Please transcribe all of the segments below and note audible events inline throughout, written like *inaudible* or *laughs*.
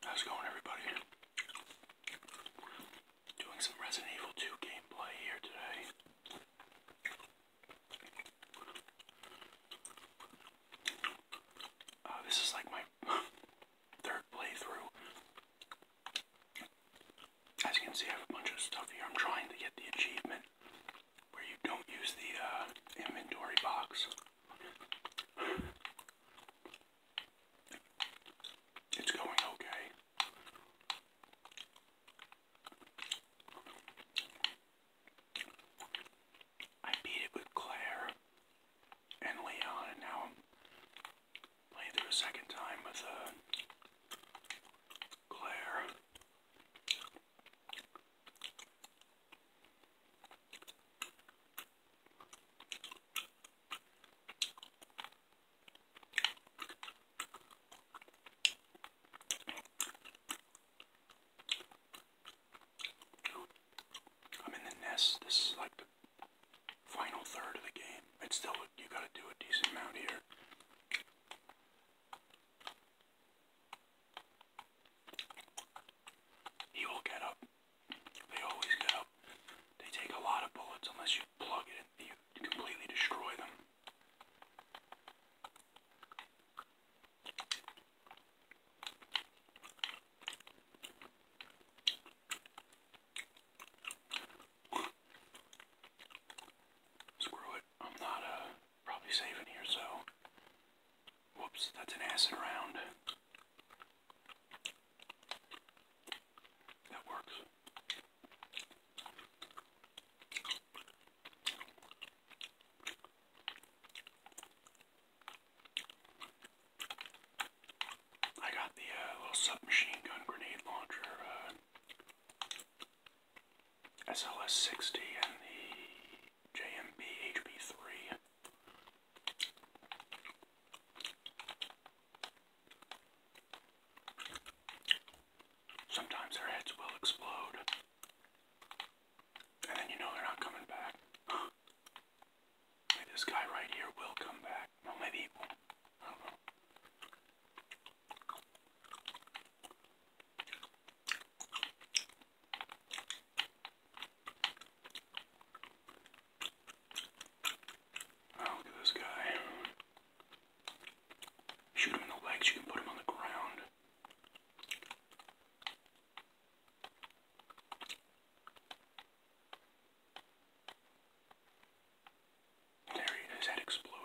How's going, everybody? Doing some Resident Evil 2 gameplay here today. Uh, this is like my *laughs* third playthrough as you can see, I have a bunch of stuff here. I'm trying to get the achievement where you don't use the uh, inventory box. It's going okay. I beat it with Claire and Leon, now playing through a second time with uh, Claire. I'm in the nest. This like final third of the game. It's still, you got to do a decent amount here. He will get up. They always get up. They take a lot of bullets unless you plug it in. You completely destroy them. Screw it. I'm not uh probably saving here, so whoops, that's an acid round. That works. I got the uh, little submachine gun grenade launcher SLS uh, 60 and the JMB HB 3. Sometimes their heads will explode. And then you know they're not coming back this guy right here will come back. Well, maybe he won't. I don't know. Oh, look at this guy. Shoot him in the legs, you can put him on the ground. There he, his head exploded.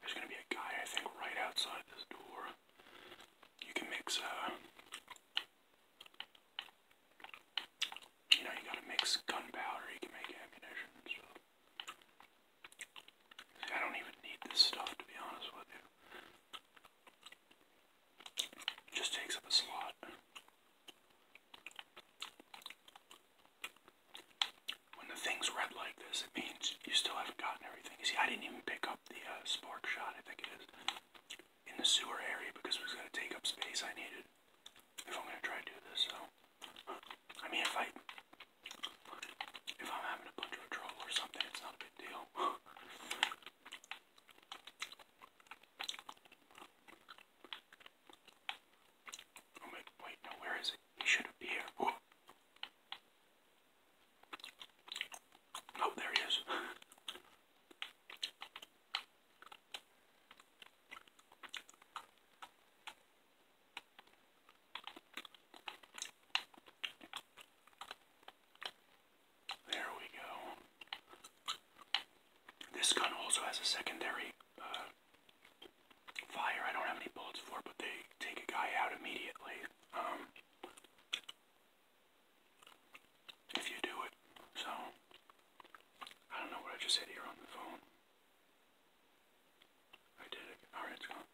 There's gonna be a guy, I think, right outside this door. You can mix, uh, you know, you gotta mix gunpowder, you can make ammunition I don't even need this stuff, to be honest with you. just takes up a slot. When the thing's red like this, it means you still haven't gotten everything. see, I didn't even pick up the uh, spark shot, I think it is, in the sewer area because it was going to take up space I needed if I'm going to try to do this. So, I mean, if I if I'm having a bunch of trouble or something, it's not a big deal. *laughs* Oh wait, wait, no, where is it? He should be here. Oh, there he is. *laughs* There we go. This gun also has a secondary uh, fire. I don't have any bullets for but they take a guy out immediately. Um, if you do it. So, I don't know what I just said here on the phone. I did it. Alright, it's gone.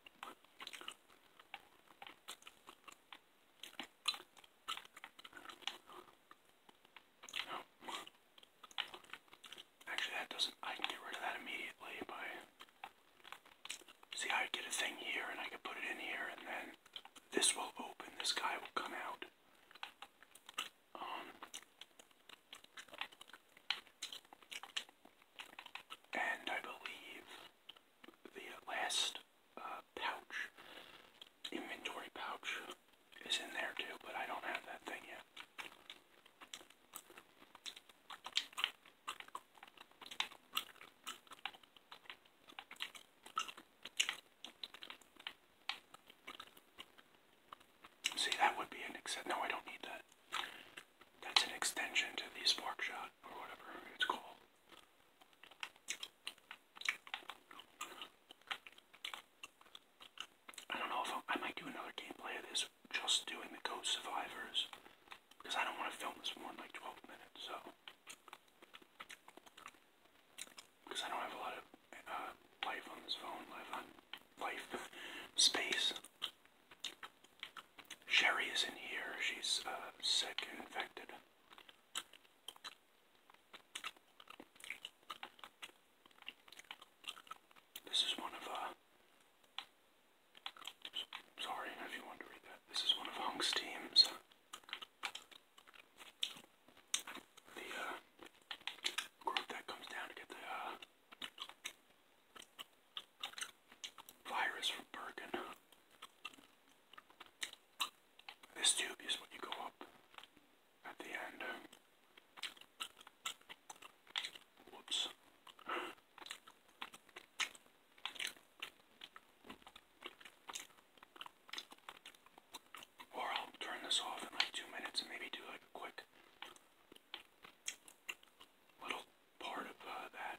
Actually, that doesn't. I can get rid of that immediately by. See, I get a thing here and I can put it in here, and then this will open. This guy will come out. Um. And I believe the last uh, pouch inventory pouch is in there too, but I don't have that thing yet. See, that would be an except. No, I don't need that. That's an extension to the spark shot or whatever it's called. I don't know if i might do another gameplay of this just doing the Code Survivors because I don't want to film this more like 12 minutes, so. Because I don't have a lot of uh, life on this phone, life on life, *laughs* space. Sherry is in here, she's uh, sick and infected. This is one of, uh, sorry if you want to read that. This is one of Hunk's teams. Uh, the, uh, group that comes down to get the, uh, virus from Bergen. This tube is when you go up at the end. Whoops. Or I'll turn this off in like two minutes and maybe do like a quick little part of uh, that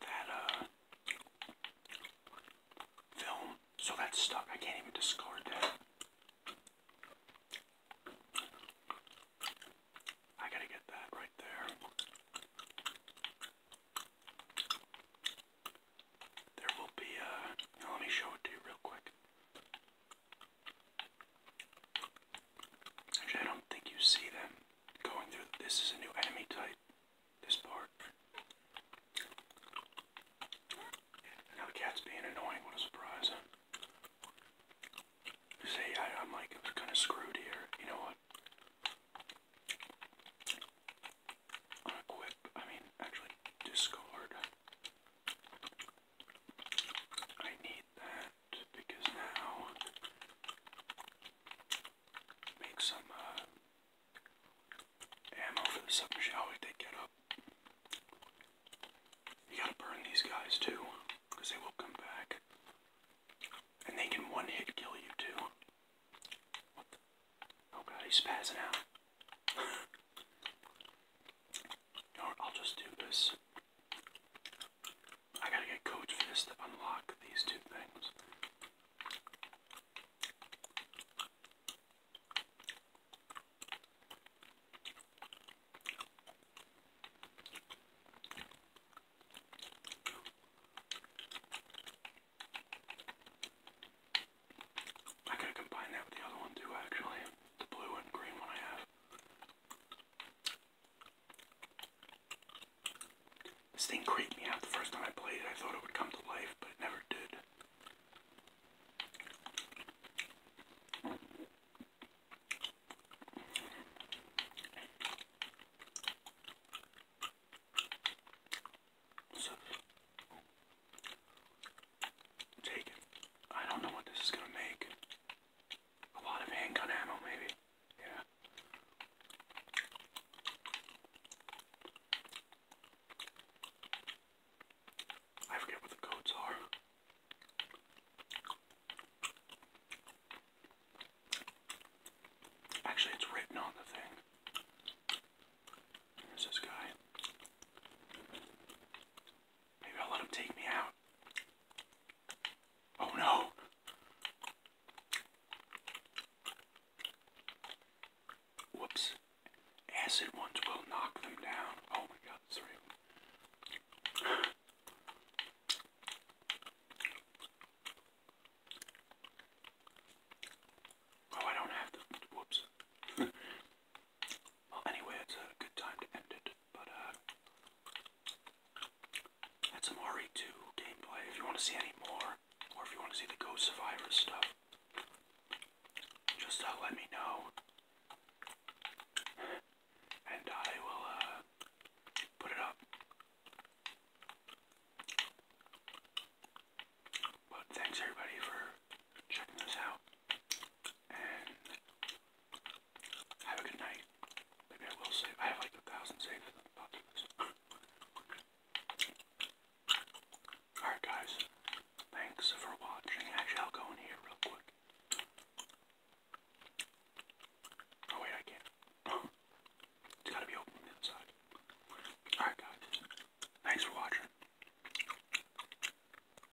that uh, film. So that's stuck. I can't even discard that. I gotta get that right there. There will be Uh, let me show it to you real quick. Actually, I don't think you see them going through. This is a new enemy type. This part. Now the cat's being annoying. What a surprise. Huh? I'm like I'm kind of screwed here. You know what? Unequip. I mean, actually, discard. I need that because now make some uh, ammo for the submachine. Oh, they get up. You gotta burn these guys too, because they will come back. And they can one hit kill you too. What the? Oh god, he's spazzing out. *laughs* I'll just do this. I gotta get Coach Fist to unlock these two things. I could combine that with the other one too, actually. blue and green one I have. This thing creeped me out the first time I played it. I thought it would come to life, but it never did. So, take it. I don't know what this is going to make a lot of handgun ammo, maybe. Yeah. I forget what the codes are. Actually, it's written on the thing. There's this guy. Maybe I'll let him take me out. Oh no. Whoops. Acid ones will knock them down. Oh my god, sorry. Oh, I don't have to. Whoops. *laughs* Well, anyway, it's a good time to end it, but, that's some RE2 gameplay. If you want to see any more, or if you want to see the Ghost Survivor stuff, just uh, let me know. And I will, uh, put it up. But thanks everybody for checking this out have a good night. Maybe I will save. I have like a thousand saves for the populace. Alright guys, thanks for watching. I'll go in here real quick. Oh wait, I can't. *laughs* it's gotta be open the inside. Alright guys, thanks for watching.